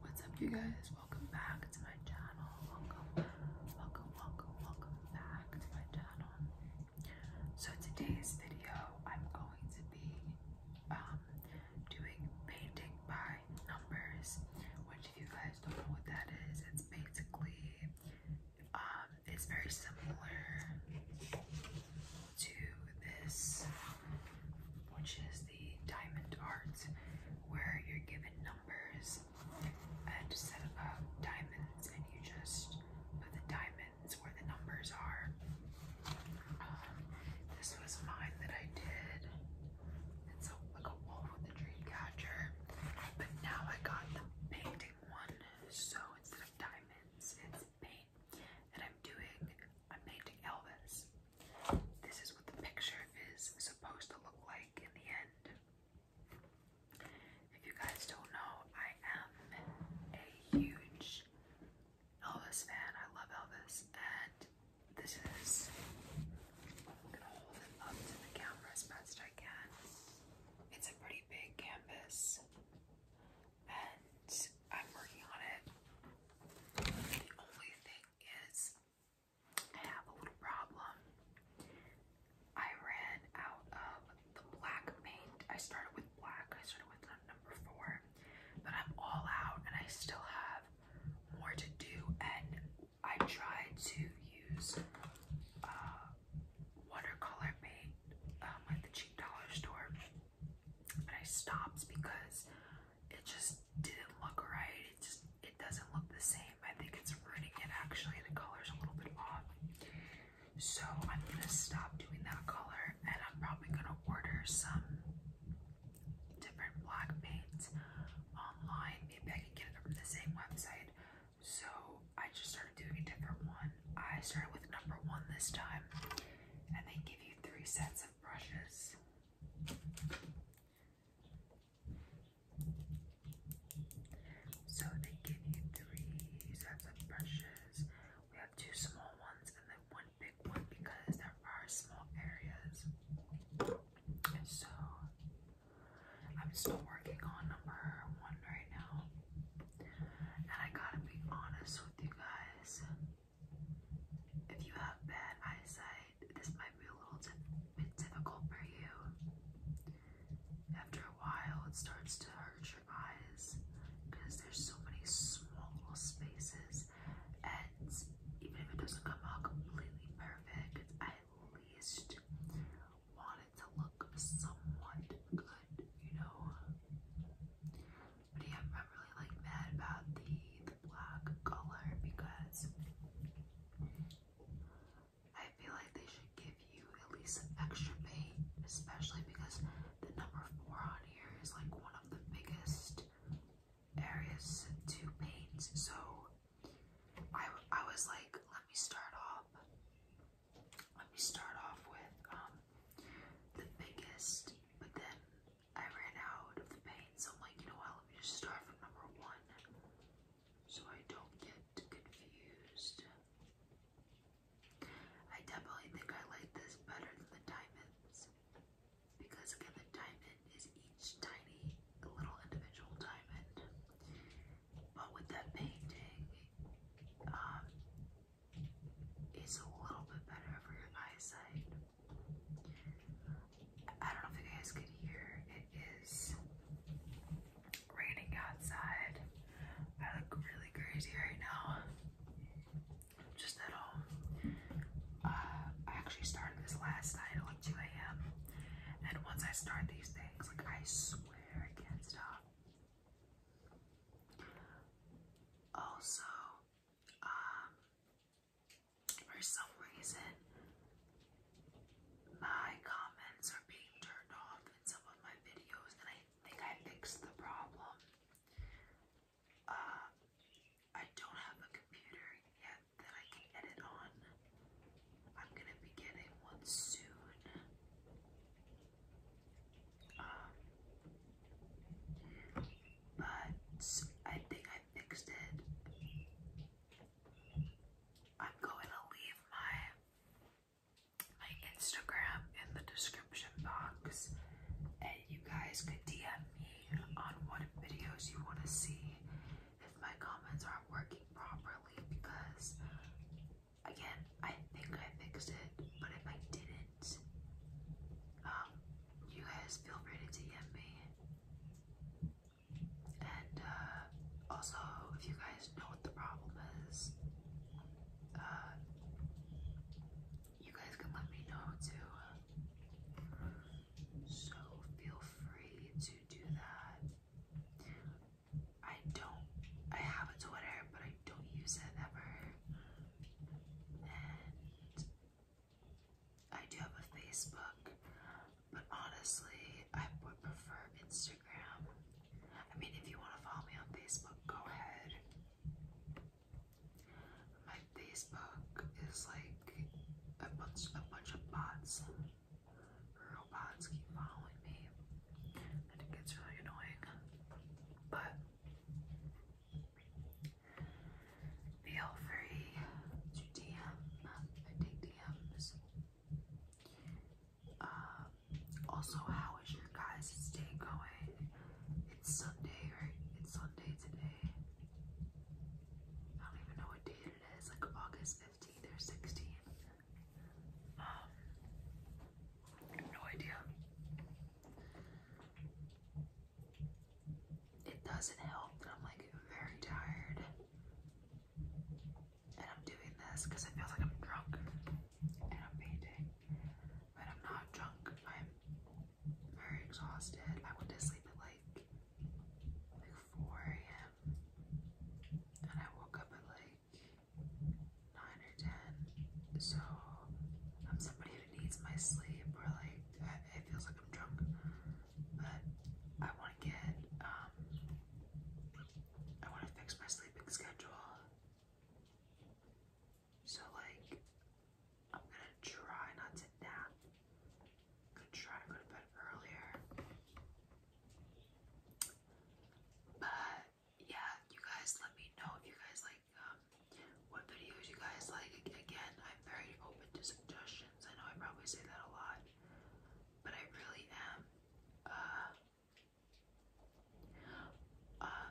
What's up, you guys? Welcome back to my channel. Welcome, welcome, welcome, welcome back to my channel. So, today's video, I'm going to be um, doing painting by numbers, which, if you guys don't know what that is, it's basically um, it's very similar to this, which is the diamond art, where you're given numbers and set up diamonds, and you just put the diamonds where the numbers are. Um, this was mine that I did. It's like a wolf with a dream but now I got the painting one, so instead of diamonds, it's paint. And I'm doing, I'm painting Elvis. This is what the picture is supposed to look like in the end. If you guys don't know, I am a huge Elvis fan. I love Elvis. And this is, I'm gonna hold it up to the camera as best I can. It's a pretty big canvas. And I'm working on it the only thing is, I have a little problem. I ran out of the black paint. I started with black, I started with number four, but I'm all out and I still have more to do. And I tried to use uh, watercolor paint um, at the cheap dollar store, and I stopped because it just didn't look right. It just it doesn't look the same. I think it's ruining it actually. and The color's a little bit off. So I'm gonna stop doing that color and I'm probably gonna order some different black paints online. Maybe I can get it from the same website. So I just started doing a different one. I started with number one this time and they give you three sets of brushes. So they give you three sets of brushes. We have two small ones and then one big one because there are small areas. so I'm still working on number one right now. And I gotta be honest with you guys. If you have bad eyesight, this might be a little bit difficult for you. After a while, it starts to hurt your eyes because there's so many small spaces, and even if it doesn't come out completely perfect, at least want it to look somewhat good, you know. But yeah, I'm really like mad about the, the black color because I feel like they should give you at least some extra paint, especially because the number four on here is like one of the biggest areas to paint. So I, I was like, let me start off. Let me start off with um the biggest, but then I ran out of paint, so I'm like, you know what, let just start from number one so I don't get confused. I definitely think I like this better than the diamonds because again, the diamond is each tiny little individual diamond. But with that painting, um, it's a little bit better for your eyesight. I don't know if you guys could hear, it is raining outside. I look really crazy right now. Just at um, home. Uh, I actually started this last night at like 2 a.m. And once I start these things, like I swear I can't stop. Also, um, for some reason, my comments are being turned off in some of my videos, and I think I fixed the problem. Uh, I don't have a computer yet that I can edit on. I'm gonna be getting one soon. Um, but I think I fixed it. I'm going to leave my my Instagram in the description box and you guys could DM me on what videos you want to see if my comments aren't working properly because again I think I fixed it but if I didn't um, you guys feel free to DM me. And uh, also, if you guys know what the problem is, uh, you guys can let me know too. So feel free to do that. I don't, I have a Twitter, but I don't use it ever. And I do have a Facebook, but honestly, I would prefer Instagram. I mean, if you want to follow me on Facebook, go ahead. My Facebook is like a bunch, a bunch of bots. Robots keep following me, and it gets really annoying. But Feel free to DM. I take DMs. Uh, also, how is your guys' day going? It's Sunday, right? It's Sunday today. I don't even know what date it is, like August 15th or 16th. Um, no idea it doesn't help that I'm like very tired. And I'm doing this because it feels like I'm drunk and I'm painting. But I'm not drunk. I'm very exhausted. I went to sleep at like like 4 a.m. And I woke up at like 9 or 10. So I'm somebody who needs my sleep or like it feels like I'm drunk, but I want to get, um, I want to fix my sleeping schedule. So, like, I'm gonna try not to nap. gonna try to go to bed earlier. But yeah, you guys let me know if you guys like what videos you guys like. Again, I'm very open to suggestions. I know I probably say that a lot, but I really am. Uh, uh,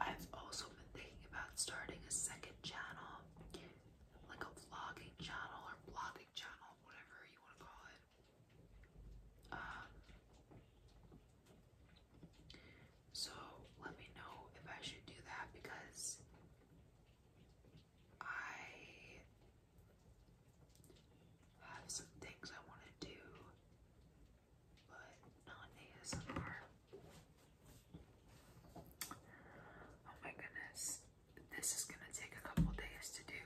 I've also been thinking about starting a second channel, like a vlogging channel or blogging channel, whatever you want to call it. Um, so let me know if I should do that because I have some things I want to do, but not ASMR. Oh my goodness, this is gonna take a couple days to do,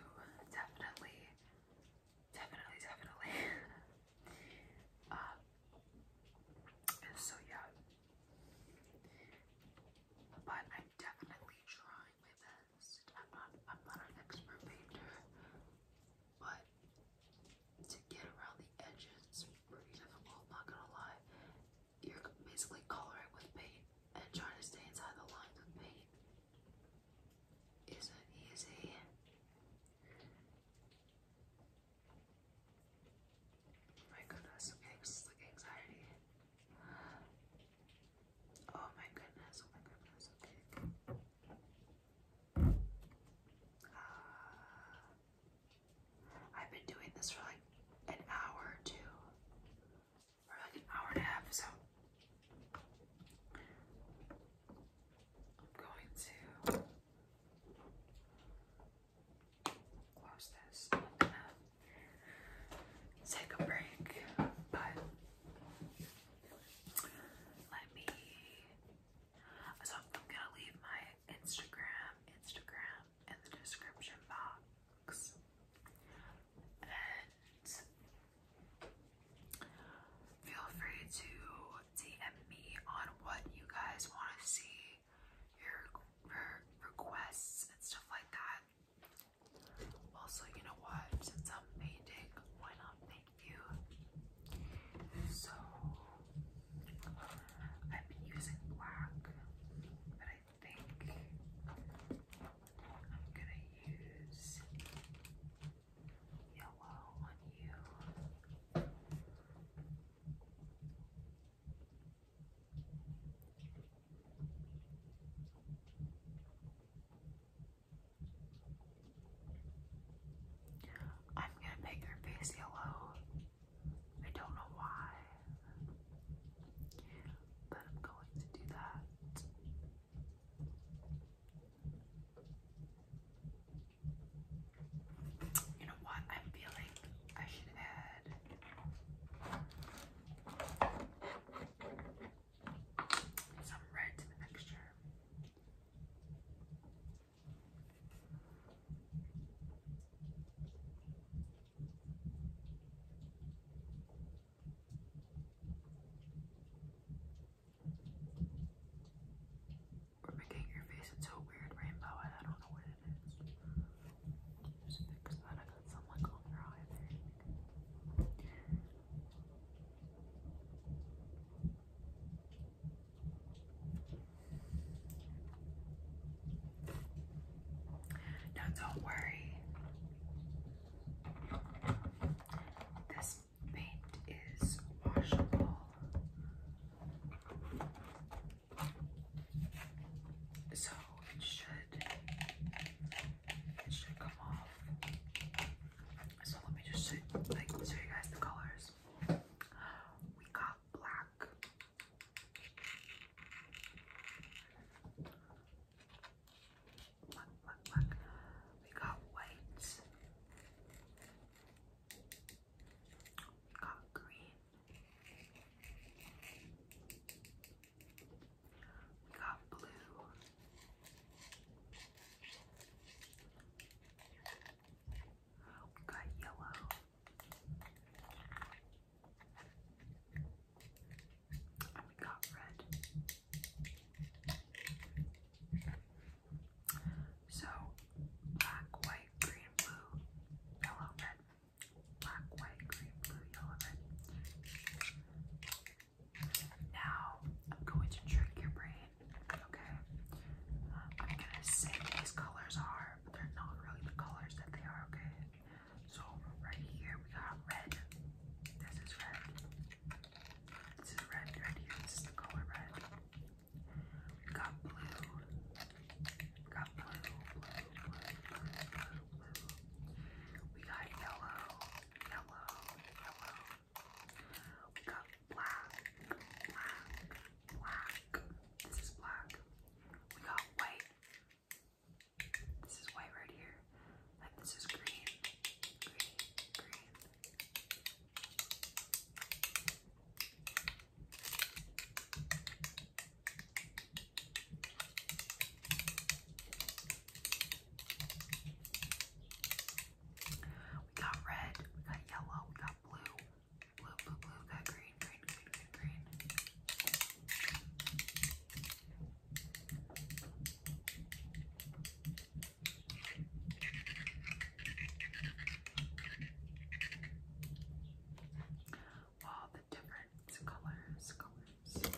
definitely, definitely, definitely. uh, so yeah, but I'm definitely trying my best. I'm not I'm not an expert painter, but to get around the edges pretty difficult, not gonna lie. You're basically coloring with paint and trying to stay inside the lines of paint isn't easy my goodness, it's like anxiety. Oh my goodness, oh my goodness, okay. Uh, I've been doing this for like an hour or two, or like an hour and a half, so I'm going to close this. take a break, but let me. So I'm gonna leave my Instagram, Instagram in the description box, and feel free to DM me on what you guys want to see your, requests and stuff like that. Also, you know what? Since I'm painting, why not paint you? So, I've been using black, but I think I'm gonna use yellow on you. I'm gonna paint your face yellow. I don't know why, but I'm going to do that. You know what? I'm feeling I should add red. Some red to we're making your face into a weird rainbow, and I don't know what it is. Just fix that. I got your eye there. don't worry. This paint is washable. So it should it should come off. So let me just show, like show you guys the colors. We got Black, black, black. We got white. We got green. We got blue. We got yellow. And we got red. So black, white, green, blue, yellow, red, black, white, green, blue, yellow, Now I'm going to trick your brain, okay? Uh, I'm gonna say these colors are, but they're not really the colors that they are, okay? So right here we got red. This is red. This is red right here. This is the color red. Got blue. Got blue, blue, blue, blue, blue, blue. We got yellow, yellow, yellow. We got black, black, black. This is black. We got white. This is white right here. And this is green, green, green. We got red, we got yellow, we got blue, blue, blue, blue, we got green, green, green, green, green all the different colors, colors.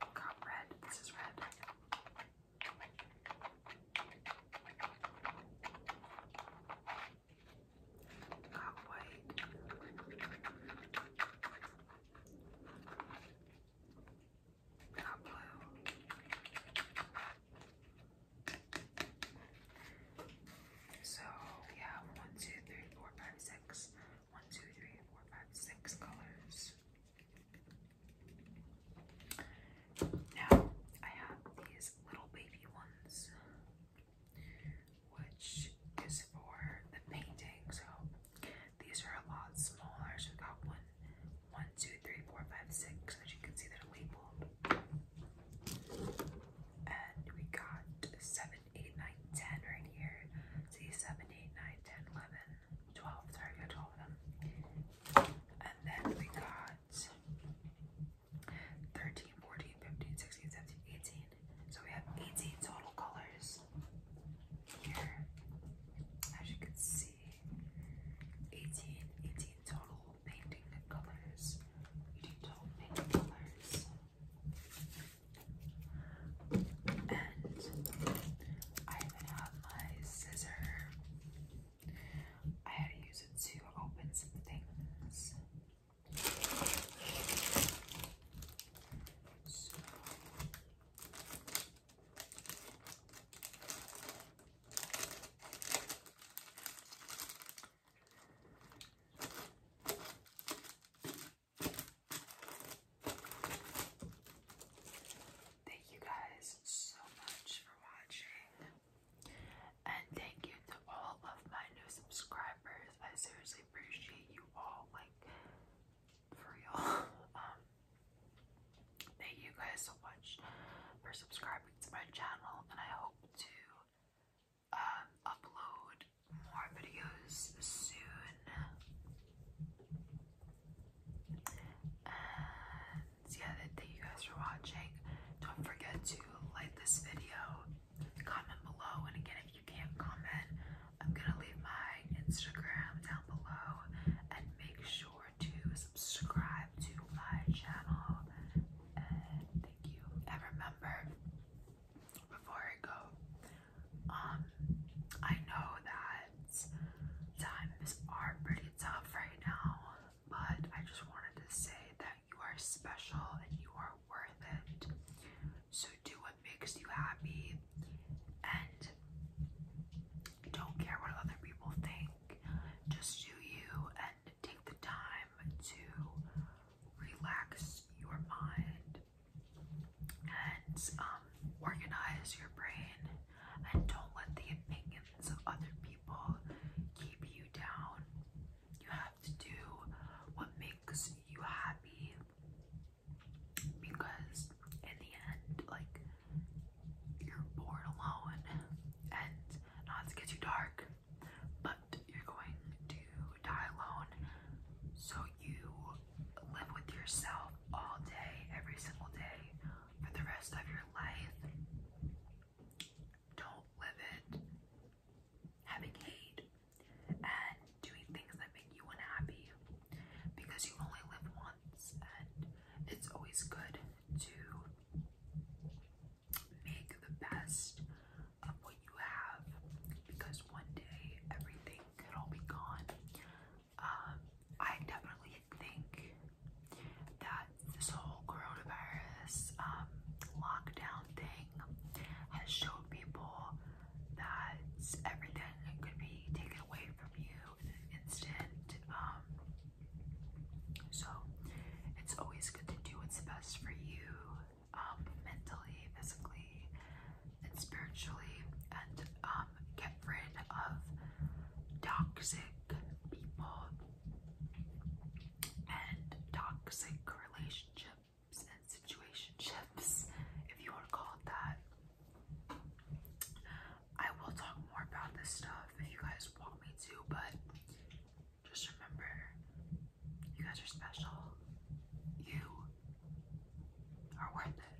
Got red. This is red. Got white. So we have one, two, three, four, five, six. One, two, three, four, five, six colors. Now I have these little baby ones, which is for the painting. So these are a lot smaller. So we got one, 1, 2, 3, 4, 5, 6. As you can see, they're labeled. And we got 7, 8, 9, 10 right here. See, 7, 8, 9, 10, 11, 12. Sorry, we got 12 of them. And then we got 13, 14, 15, 16, 17, 18. So we have 18 total colors here. As you can see, 18, 18 total painting colors. 18 total painting colors. And I even have my scissor. I had to use it to open some things. Thank you guys so much for watching. And thank you to all of my new subscribers. I seriously appreciate you all, like, for real. um, Thank you guys so much for subscribing to my channel, and I hope to um, upload more videos soon. And yeah, thank you guys for watching. Don't forget to like this video, comment below, and again, if you can't comment, I'm gonna leave my Instagram down below and make sure to subscribe to my channel and thank you. And remember, before I go, um, I know that times are pretty tough right now, but I just wanted to say that you are special and you are worth it. So do what makes you happy and don't care what other people think. Just do you and take the time to relax your mind and um, organize your brain and don't let the opinions of other people keep you down. You have to do what makes you happy because in the end, like you're born alone and not to get too dark, but you're going to die alone. So you live with yourself all day, every single day, for the rest of your life. Don't live it having hate and doing things that make you unhappy because you only live once and it's always good to make the best of what you have because one day everything could all be gone. Um, I definitely think that this whole coronavirus um, lockdown thing has showed people that everything could be taken away from you instant. Um, so it's always good to do what's best for you um, mentally, physically, and spiritually, and um, get rid of toxic people and toxic relationships and situationships, if you are called that. I will talk more about this stuff if you guys want me to, but just remember you guys are special. You are worth it.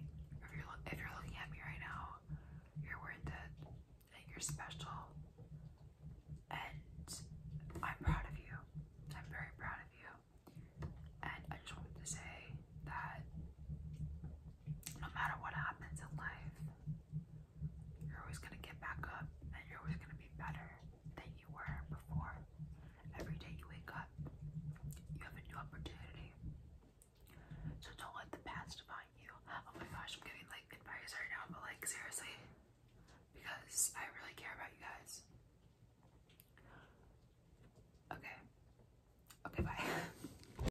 If you're if you're looking at me right now, you're worth it. And you're special. And I'm proud of you. I'm very proud of you. And I just wanted to say that no matter what happens in life, you're always going to get back up and you're always going to be better than you were before. Every day you wake up, you have a new opportunity. So don't let the past define you. Oh my gosh, I'm giving like advice right now, but like seriously, because I really care about you guys. Okay. Okay, bye.